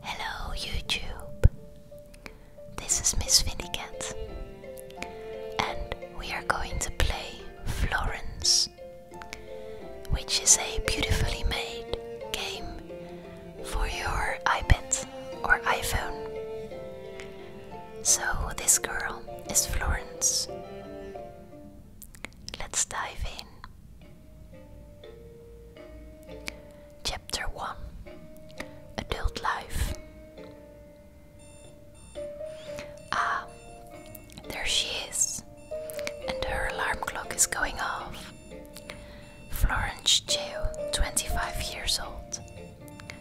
Hello YouTube! This is Miss Vinnicat and we are going to play Florence which is a beautifully made game for your iPad or iPhone. So this girl is Florence. Let's dive in. Chapter 1 Adult Life Ah, there she is, and her alarm clock is going off. Florence Jail, 25 years old.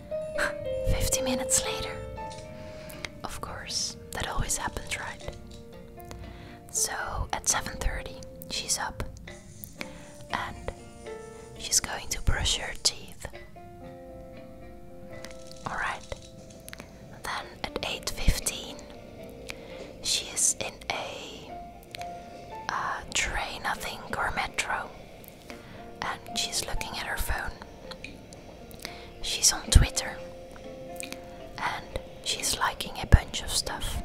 50 minutes later. Of course, that always happens, right? So at 7:30 she's up and she's going to brush her teeth. All right. Then at 8:15 she is in a uh, train, I think, or metro, and she's looking at her phone. She's on Twitter and she's liking a bunch of stuff.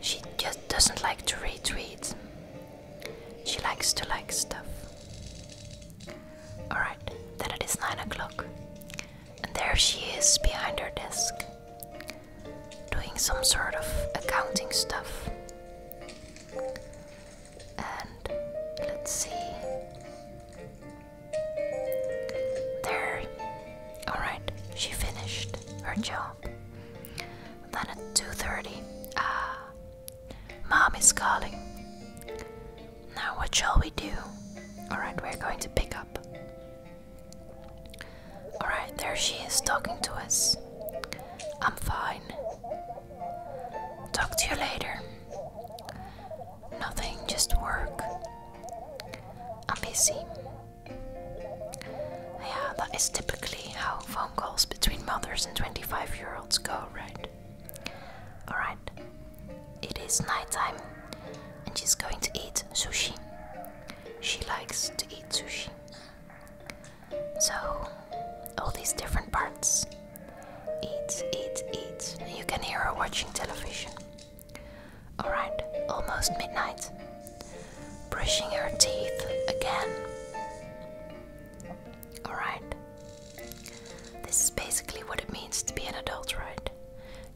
She just doesn't like to retweet. She likes to like stuff. Alright, then it is 9 o'clock. And there she is behind her desk, doing some sort of accounting stuff. And let's see. There. Alright, she finished her job. Then at 2.30, ah, uh, mom is calling. Now what shall we do? Alright, we're going to pick up. Alright, there she is talking to us. I'm fine. Talk to you later. Nothing, just work. I'm busy. Yeah, that is typically how phone calls between mothers and 25 year olds go, right? Alright, it is nighttime and she's going to eat sushi. She likes to eat sushi. So, all these different parts eat, eat, eat. You can hear her watching television. Alright, almost midnight. Brushing her teeth again. Alright. This is basically what it means to be an adult, right?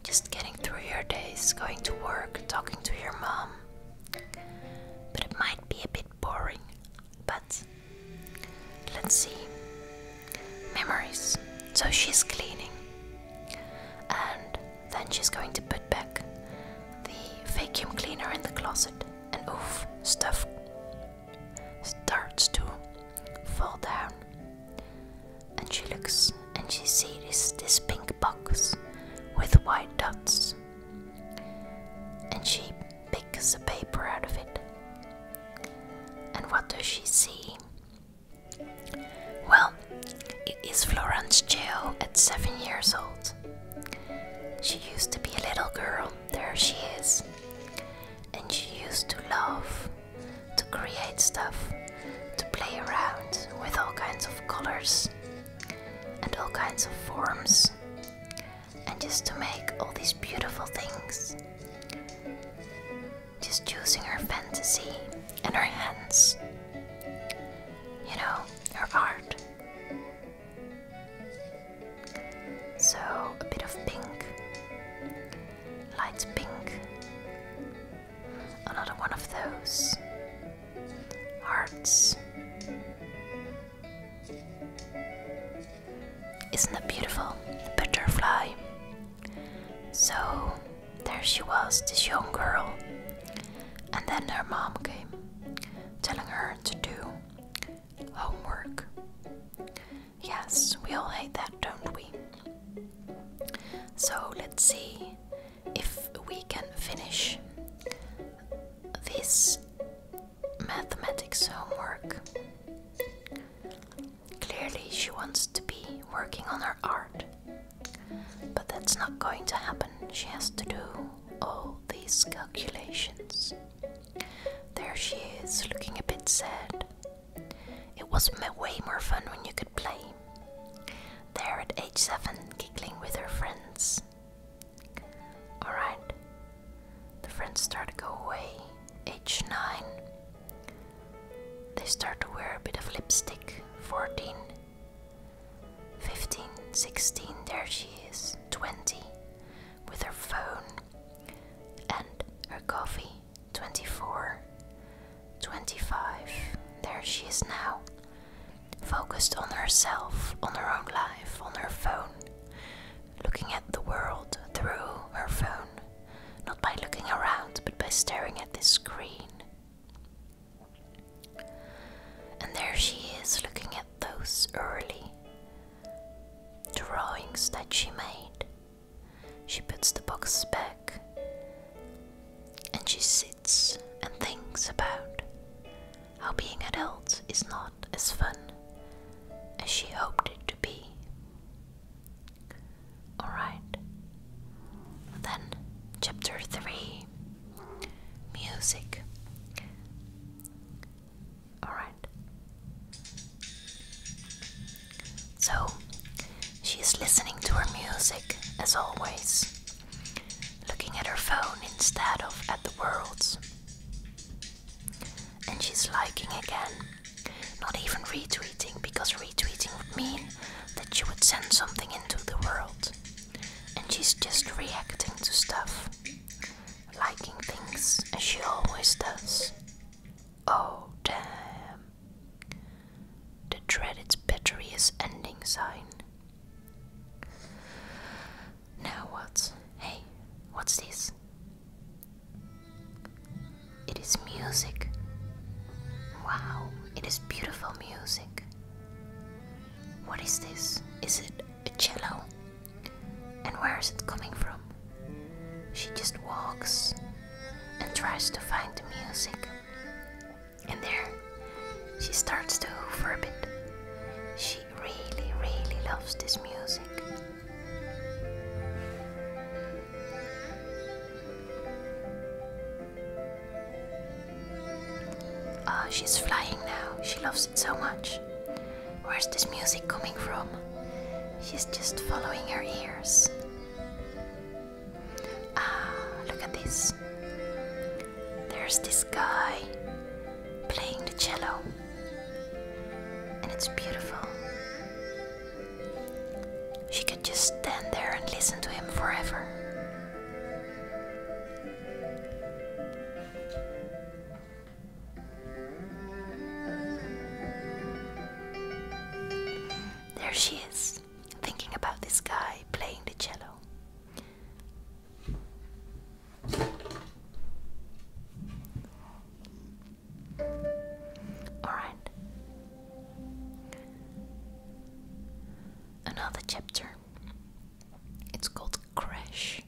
Just getting through your days, going to work, talking to your mom. But it might be a bit boring. But let's see memories. So she's cleaning. And then she's going to put back the vacuum cleaner in the closet. And oof, stuff starts to fall down. And she looks and she sees this, pink box with white dots. And she picks the paper out of it. And what does she see? Well, it is Florence Jail at seven years old. She used to be a little girl, there she is. And she used to love to create stuff, to play around with all kinds of colors and all kinds of forms, and just to make all these beautiful things just choosing her fantasy and her hands, you know, her art. So, a bit of pink, light pink, another one of those hearts. Isn't that beautiful? butterfly so there she was, this young girl. And then her mom came, telling her to do homework. Yes, we all hate that, don't we? So let's see if we can finish this mathematics homework. Clearly, she wants to be working on her art. But that's not going to happen. She has to do all these calculations. There she is, looking a bit sad. It was way more fun when you could play. There at age 7, giggling with her friends. Alright. The friends start to go away. Age 9. They start to wear a bit of lipstick. 14, 15, 16, there she is. 20, with her phone and her coffee. 24, 25, there she is now. Focused on herself, on her own life, on her phone looking at the world through her phone, not by looking around, but by staring at the screen. And there she is looking at those early drawings that she made. She puts the box back and she sits and thinks about how being an adult is not as fun as she hoped it to be. Alright. Then, chapter 3 Music. Alright. So, she is listening to her music as always, looking at her phone instead of at the world's. And she's liking again. Not even retweeting, because retweeting would mean that she would send something into the world. And she's just reacting to stuff, liking things, as she always does. Oh, damn. The dreaded battery is ending sign. Now what? Hey, what's this? It is music. Wow, it is beautiful music. What is this? Is it a cello? And where is it coming from? She just walks and tries to find the music. And there, she starts to hoover a bit. She really, really loves this music. Oh, she's flying now. She loves it so much. Where's this music coming from? She's just following her ears. Ah, look at this. There's this guy playing the cello. And it's beautiful. She could just stand there and listen to him forever. There she is, thinking about this guy playing the cello. Alright. Another chapter. It's called Crash.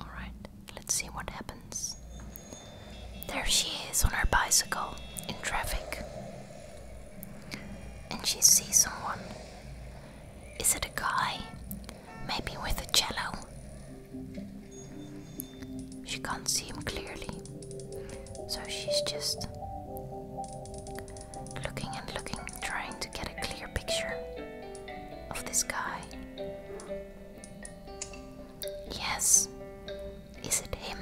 Alright, let's see what happens. There she is on her bicycle in traffic. And she sees someone is it a guy? Maybe with a cello? She can't see him clearly, so she's just looking and looking, trying to get a clear picture of this guy. Yes, is it him?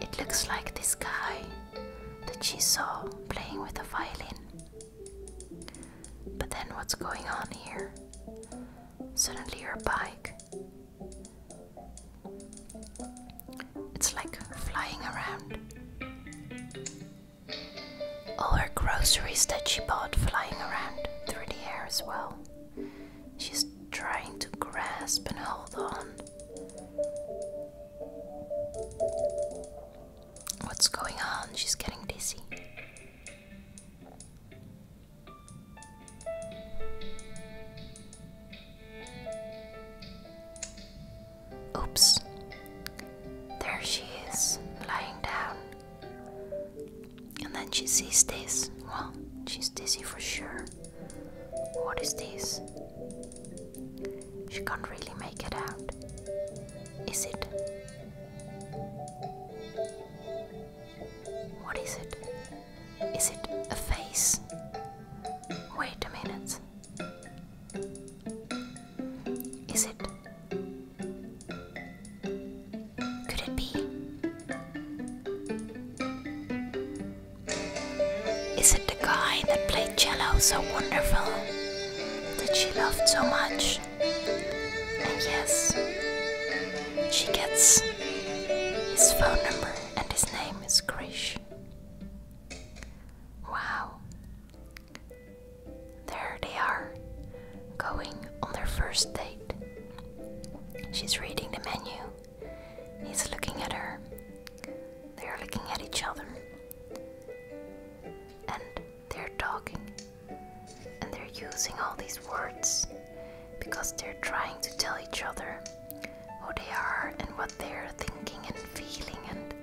It looks like this guy that she saw playing with a violin. But then what's going on here? Suddenly her bike. It's like flying around. All her groceries that she bought flying around through the air as well. She's trying to grasp and hold on. What's going on? She's getting dizzy. Oops. There she is, lying down. And then she sees this. Well, she's dizzy for sure. What is this? She can't really make it out. Is it? What is it? Is it a face? Wait a minute. Is it? Could it be? Is it the guy that played cello so wonderful that she loved so much? And yes, she gets his phone number and his name is Krish. Wow. There they are, going on their first date. She's reading the menu. He's looking at her. They are looking at each other. And they're talking. And they're using all these words because they're trying to tell each other who they are and what they're thinking and feeling. And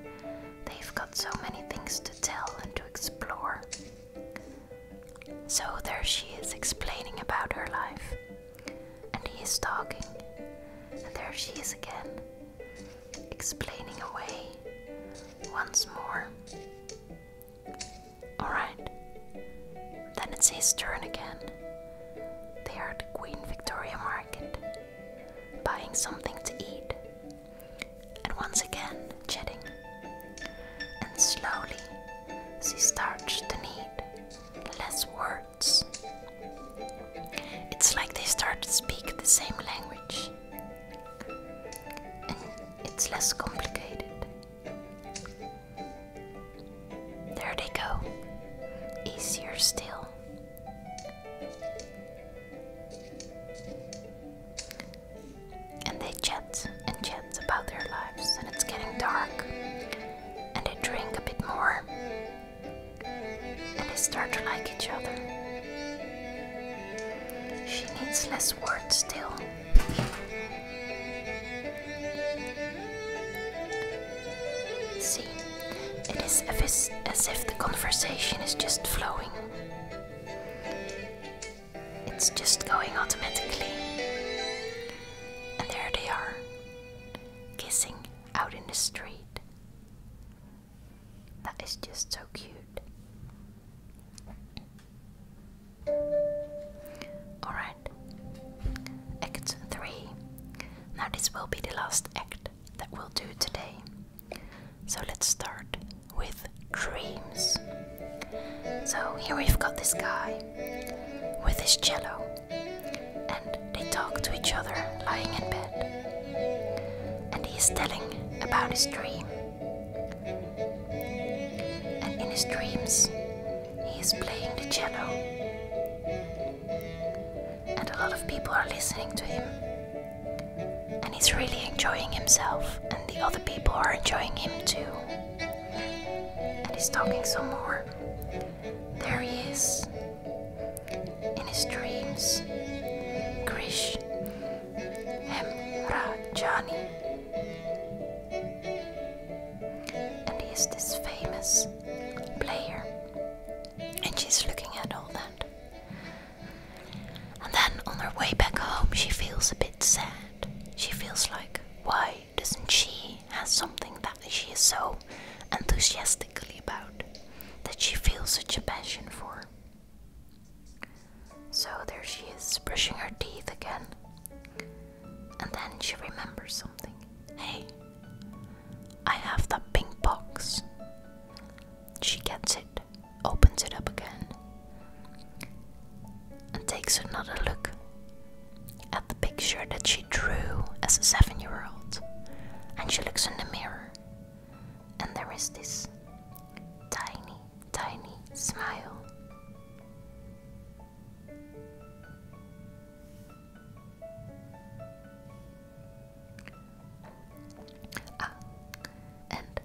they've got so many things to tell and to explore. So there she is explaining about her life. And he is talking. And there she is again explaining away once more. Alright, then it's his turn again. They are at Queen Victoria Market, buying something to eat, and once again chatting. And slowly she starts to need less words. It's like they start to speak the same language. And it's less complicated. There they go. Easier still. And they chat and chat about their lives, and it's getting dark. And they drink a bit more and they start to like each other. She needs less words still. See, it is as if the conversation is just flowing. It's just going automatically. And there they are, kissing out in the street. That is just so cute. Alright, Act 3. Now, this will be the last act that we'll do today. So, let's start with dreams. So, here we've got this guy with his cello, and they talk to each other lying in bed. And he is telling about his dream. And in his dreams, he is playing the cello. And a lot of people are listening to him. And he's really enjoying himself, and the other people are enjoying him too. And he's talking some more. There he is. In his dreams. Krish Hemrajani. And he is this famous player. And she's looking at all that. And then on her way back home, she feels a bit sad. She feels like, why doesn't she have something that she is so enthusiastically about that she feels such a passion for? So there she is, brushing her teeth again. And then she remembers something. Hey, I have that pink box. She gets it, opens it up again, and takes another look at the picture that she drew as a seven year old, and she looks in the mirror, and there is this tiny, tiny smile. Ah, and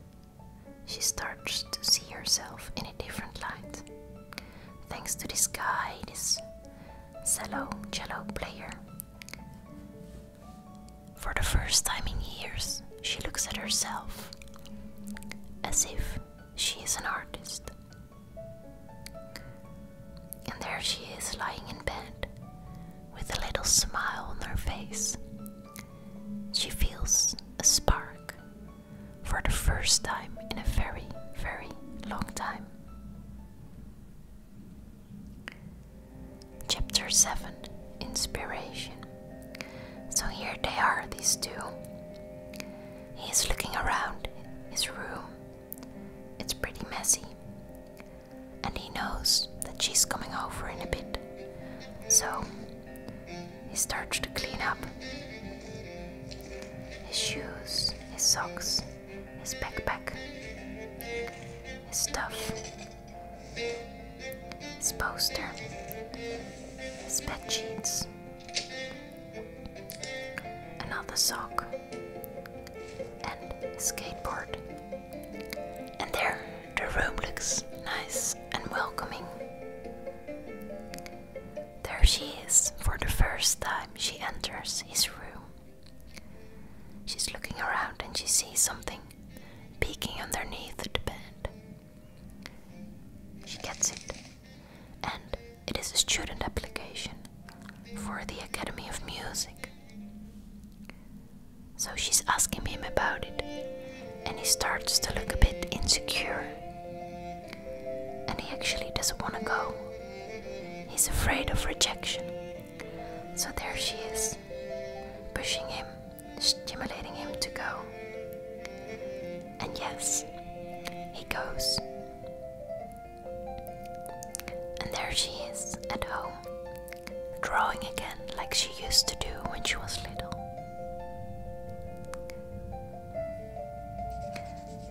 she starts to see herself in a different light. Thanks to this guy, this cello cello player. For the first time in years, she looks at herself as if she is an artist. And there she is lying in bed with a little smile on her face. She feels a spark for the first time in a very, very long time. Chapter 7 Inspiration. So here they are, these two. He is looking around his room. It's pretty messy. And he knows that she's coming over in a bit. So he starts to clean up his shoes, his socks, his backpack, his stuff, his poster, his bed sheets, another sock, and his skateboard. And there, the room looks nice and welcoming. There she is, for the first time she enters his room. She's looking around and she sees something peeking underneath the bed. She gets it, and it is a student application for the Academy of Music. So she's asking him about it, and he starts to look a bit insecure and he actually doesn't want to go. He's afraid of rejection. So there she is, pushing him, stimulating him to go. And yes, he goes. And there she is at home, drawing again like she used to do when she was little.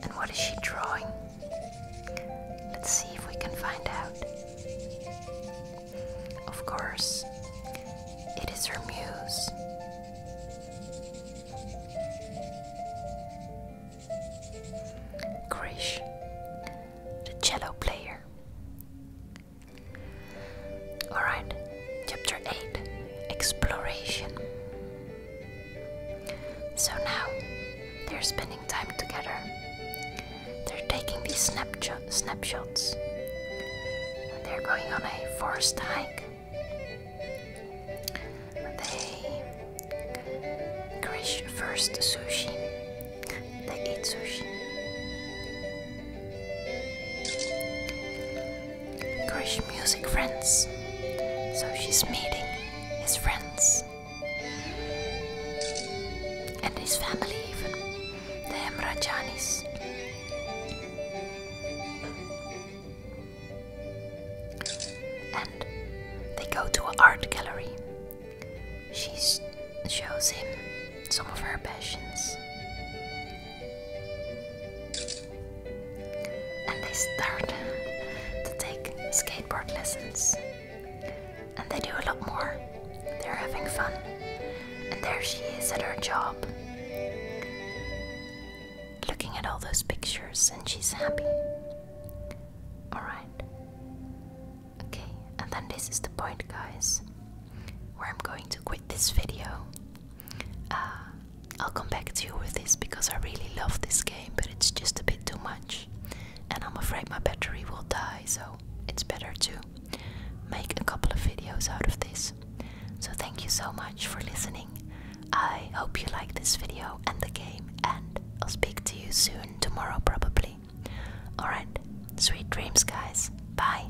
And what is she drawing? Let's see if we can find out. Of course, it is her muse. Grish, the cello player. Alright, chapter 8 Exploration. So now they're spending time together. They're taking these snapshots. They're going on a forest hike. They Krish first sushi. They eat sushi. Greek music friends. So she's meeting his friends and his family, even the Emrajanis. And they go to an art gallery. She shows him some of her passions. And they start to take skateboard lessons. And they do a lot more. They're having fun. And there she is at her job. Looking at all those pictures, and she's happy. Alright. Okay, and then this is the point, guys, where I'm going to quit this video. Uh, I'll come back to you with this because I really love this game, but it's just a bit too much, and I'm afraid my battery will die, so it's better to make a couple of videos out of this. So, thank you so much for listening. I hope you like this video and the game, and I'll speak to you soon, tomorrow probably. Alright, sweet dreams, guys. Bye.